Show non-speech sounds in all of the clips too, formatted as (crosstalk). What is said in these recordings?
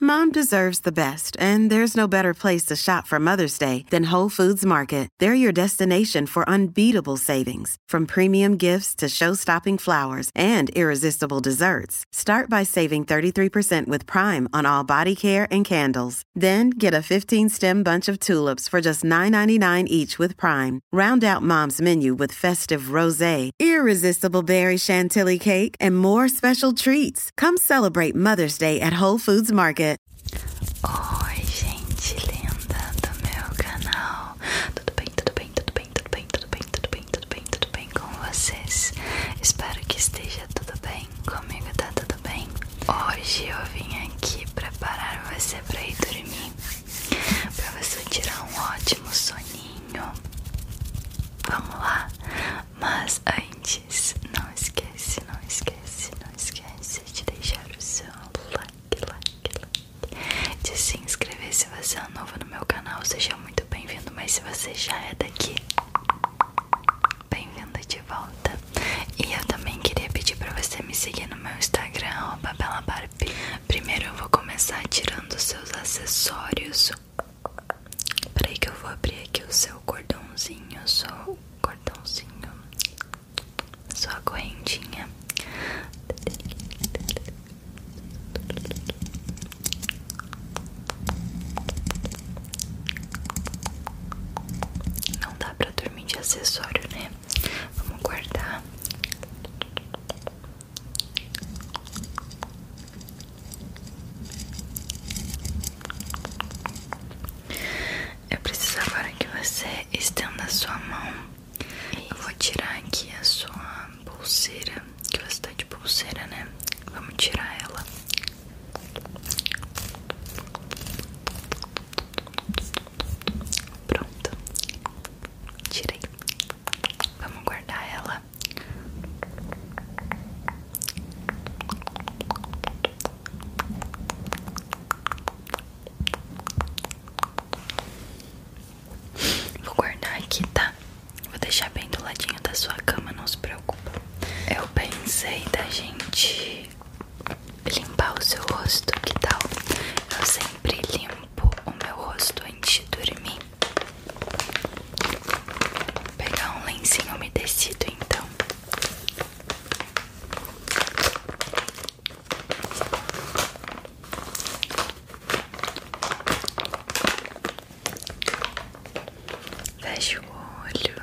Mom deserves the best, and there's no better place to shop for Mother's Day than Whole Foods Market. They're your destination for unbeatable savings, from premium gifts to show-stopping flowers and irresistible desserts. Start by saving 33% with Prime on all body care and candles. Then get a 15-stem bunch of tulips for just $9.99 each with Prime. Round out Mom's menu with festive rosé, irresistible berry chantilly cake, and more special treats. Come celebrate Mother's Day at Whole Foods Market. Oi, gente linda do meu canal. Tudo bem, tudo bem, tudo bem, tudo bem, tudo bem, tudo bem, tudo bem, tudo bem com vocês? Espero que esteja tudo bem. Comigo tá tudo bem. Hoje eu vim aqui preparar você para ir dormir. Para você tirar um ótimo soninho. Vamos lá, mas antes, não esquece, não esquece, não esquece de deixar o seu like, like, like, de se inscrever se você é novo no meu canal, seja muito bem-vindo, mas se você já é daqui, bem-vindo de volta. E eu também queria pedir para você me seguir no meu Instagram, Bela Barbie. Primeiro eu vou começar tirando os seus acessórios Peraí que eu vou abrir aqui o seu cordãozinho, só o cordãozinho, só a correntinha. Não dá pra dormir de acessório, né? Vamos guardar. Eu preciso agora que você estenda sua mão. Eu vou tirar aqui a sua pulseira. Que você tá de pulseira, né? Vamos tirar ela. Pronto. Tirei. Vamos guardar ela Vou guardar aqui, tá? Vou deixar bem do ladinho da sua cama, não se preocupe. Eu pensei da gente limpar o seu rosto, que tal? Eu sempre limpo o meu rosto antes de dormir pegar um lencinho umedecido então. Fecha o olho.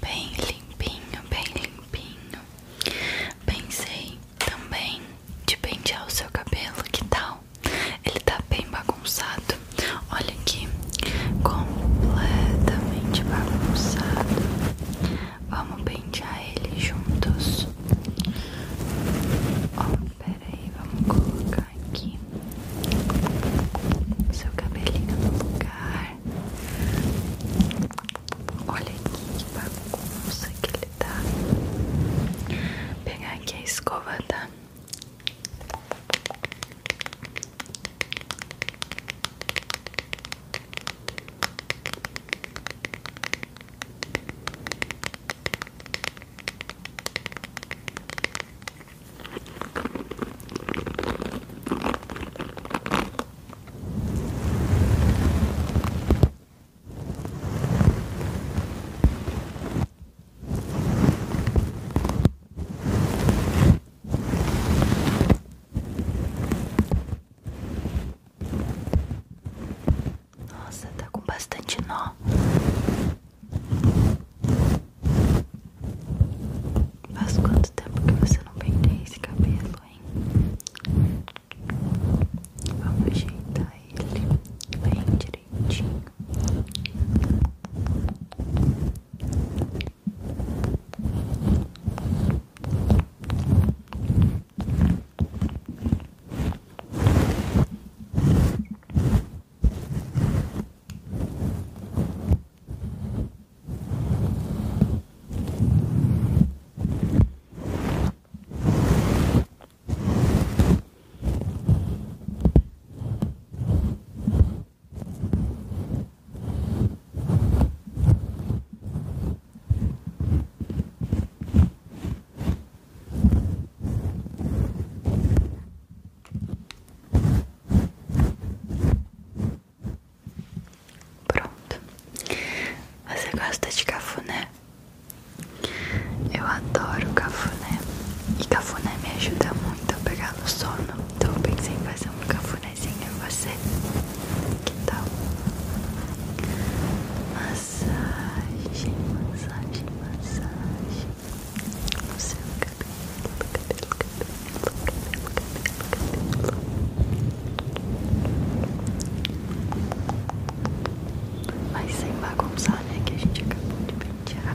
Bem limpinho, bem limpinho. Pensei também de pentear o seu cabelo, que tal? Ele tá bem bagunçado. Olha aqui, completamente bagunçado. Vamos pentear ele juntos. Ó, oh, peraí, vamos colocar aqui seu cabelinho no lugar. Olha que bagunça que ele tá? pegar aqui a escova, tá? Nossa, tá com bastante nó. Faz quanto tempo que você não penteia esse cabelo, hein? Vamos ajeitar ele bem direitinho. Pronto. Você gosta de cafuné? Eu adoro cafuné e cafuné me ajuda muito a pegar no sono, então eu pensei em fazer um cafunézinho em você. Que tal? Massagem, massagem, massagem no seu é cabelo, cabelo, cabelo, cabelo, cabelo, cabelo. Mas sem bagunçar, né? Que a gente acabou de pentear.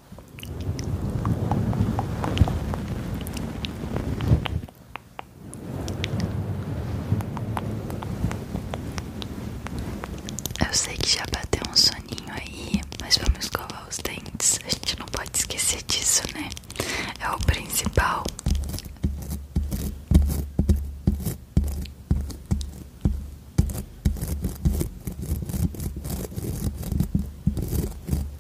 Eu sei que já bateu um soninho aí, mas vamos escovar os dentes. A gente não pode esquecer disso, né? É o principal.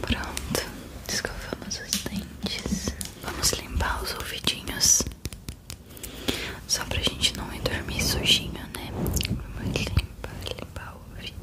Pronto, escovamos os dentes. Vamos limpar os ouvidinhos. Só pra gente não ir dormir sujinho, né? Vamos limpar, limpar o ouvido.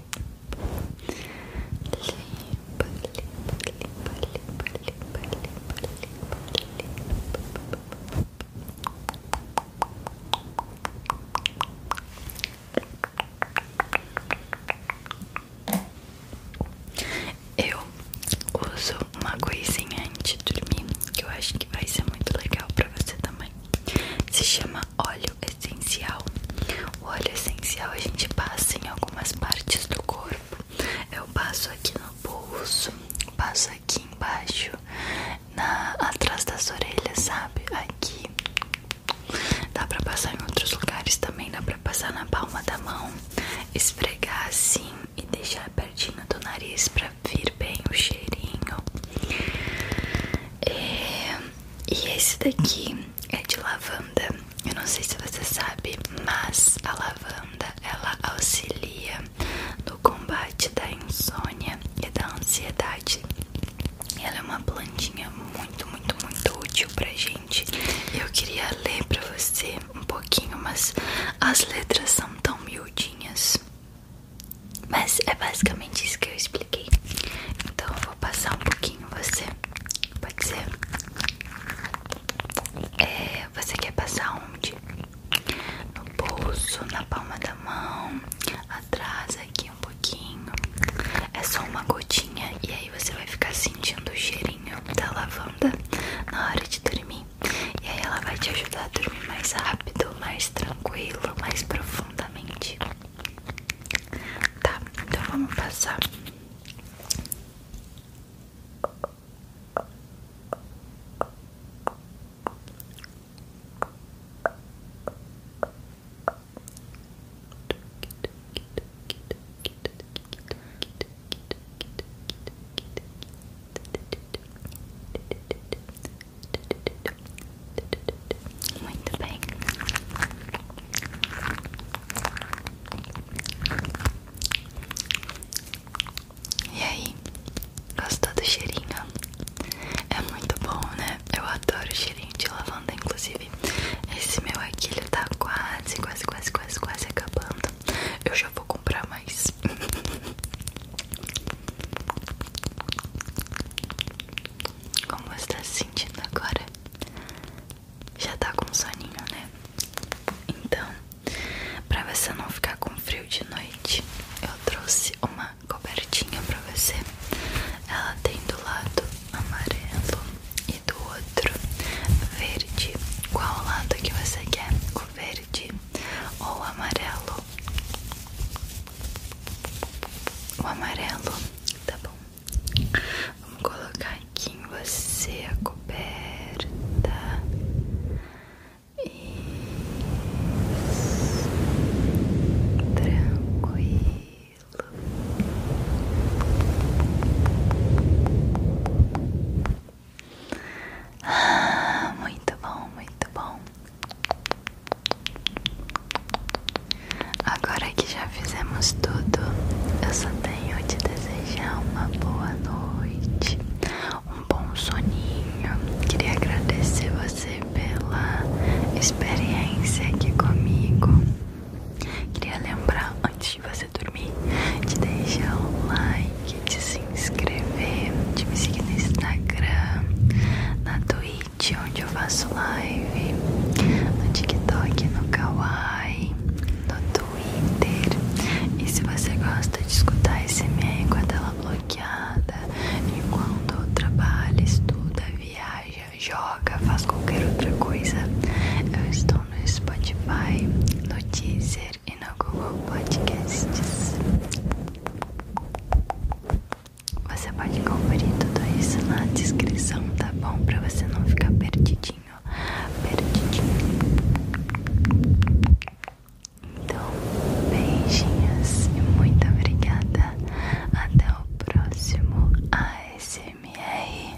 limpa, limpa, limpa, limpa, limpa, limpa, limpa, eu uso uma coisinha antes de dormir que eu acho que vai ser muito legal pra você também. Se chama óleo essencial. O óleo essencial a gente passa em algumas partes do corpo. Eu passo aqui no pulso, passo aqui embaixo, na atrás das orelhas, sabe? Aqui. Dá pra passar em outros lugares também, dá pra passar na palma da mão, esfregar assim e deixar pertinho do nariz pra vir bem o cheirinho. É, e esse daqui é de lavanda. Eu não sei se você sabe, mas a lavanda ela auxilia no combate da insônia e da ansiedade. Ela é uma plantinha muito, muito, muito útil pra gente. Eu queria ler pra você um pouquinho, mas as letras são tão miudinhas. Mas é basicamente isso que eu expliquei. Então eu vou passar um pouquinho, você Pode ser? É, você quer passar onde? No bolso, na palma da mão, atrás aqui um pouquinho. É só uma gotinha e aí você vai ficar sentindo o cheirinho da lavanda na hora de dormir. E aí ela vai te ajudar a dormir mais rápido, mais tranquilo, mais profundamente. Tá, então vamos passar. Muito bem. E aí? Gostou do cheirinho? É muito bom, né? Eu adoro o cheirinho de lavanda, inclusive. Esse meu aqui, tá quase, quase, quase, quase, quase acabando. Eu já vou comprar mais. (laughs) Como você está se sentindo agora? já tá com soninho, né? Então, pra você não ficar com frio de noite, eu trouxe uma cobertinha pra você. Ela tem do lado amarelo e do outro verde. Qual lado que você quer? O verde ou o amarelo? O amarelo, tá bom? Vamos colocar aqui em você a coberta. Isso. Tranquilo. Ah, muito bom, muito bom. Agora que já fizemos tudo, eu só tenho de desejar uma boa noite, um bom soninho. Queria agradecer você pela experiência aqui comigo. Queria lembrar antes de você dormir de deixar o like, de se inscrever, de me seguir no Instagram, na Twitch, onde eu faço live no TikTok, no Kawaii, no Twitter. E se você gosta de escutar esse meio com a tela é bloqueada, enquanto trabalha, estuda, viaja, joga, faz qualquer outra coisa, eu estou no Spotify, no Deezer e no Google Podcasts. Você pode conferir tudo isso na descrição tá bom? Pra você não ficar perdidinho, perdidinho. Então, beijinhos e muito obrigada. Até o próximo ASMR.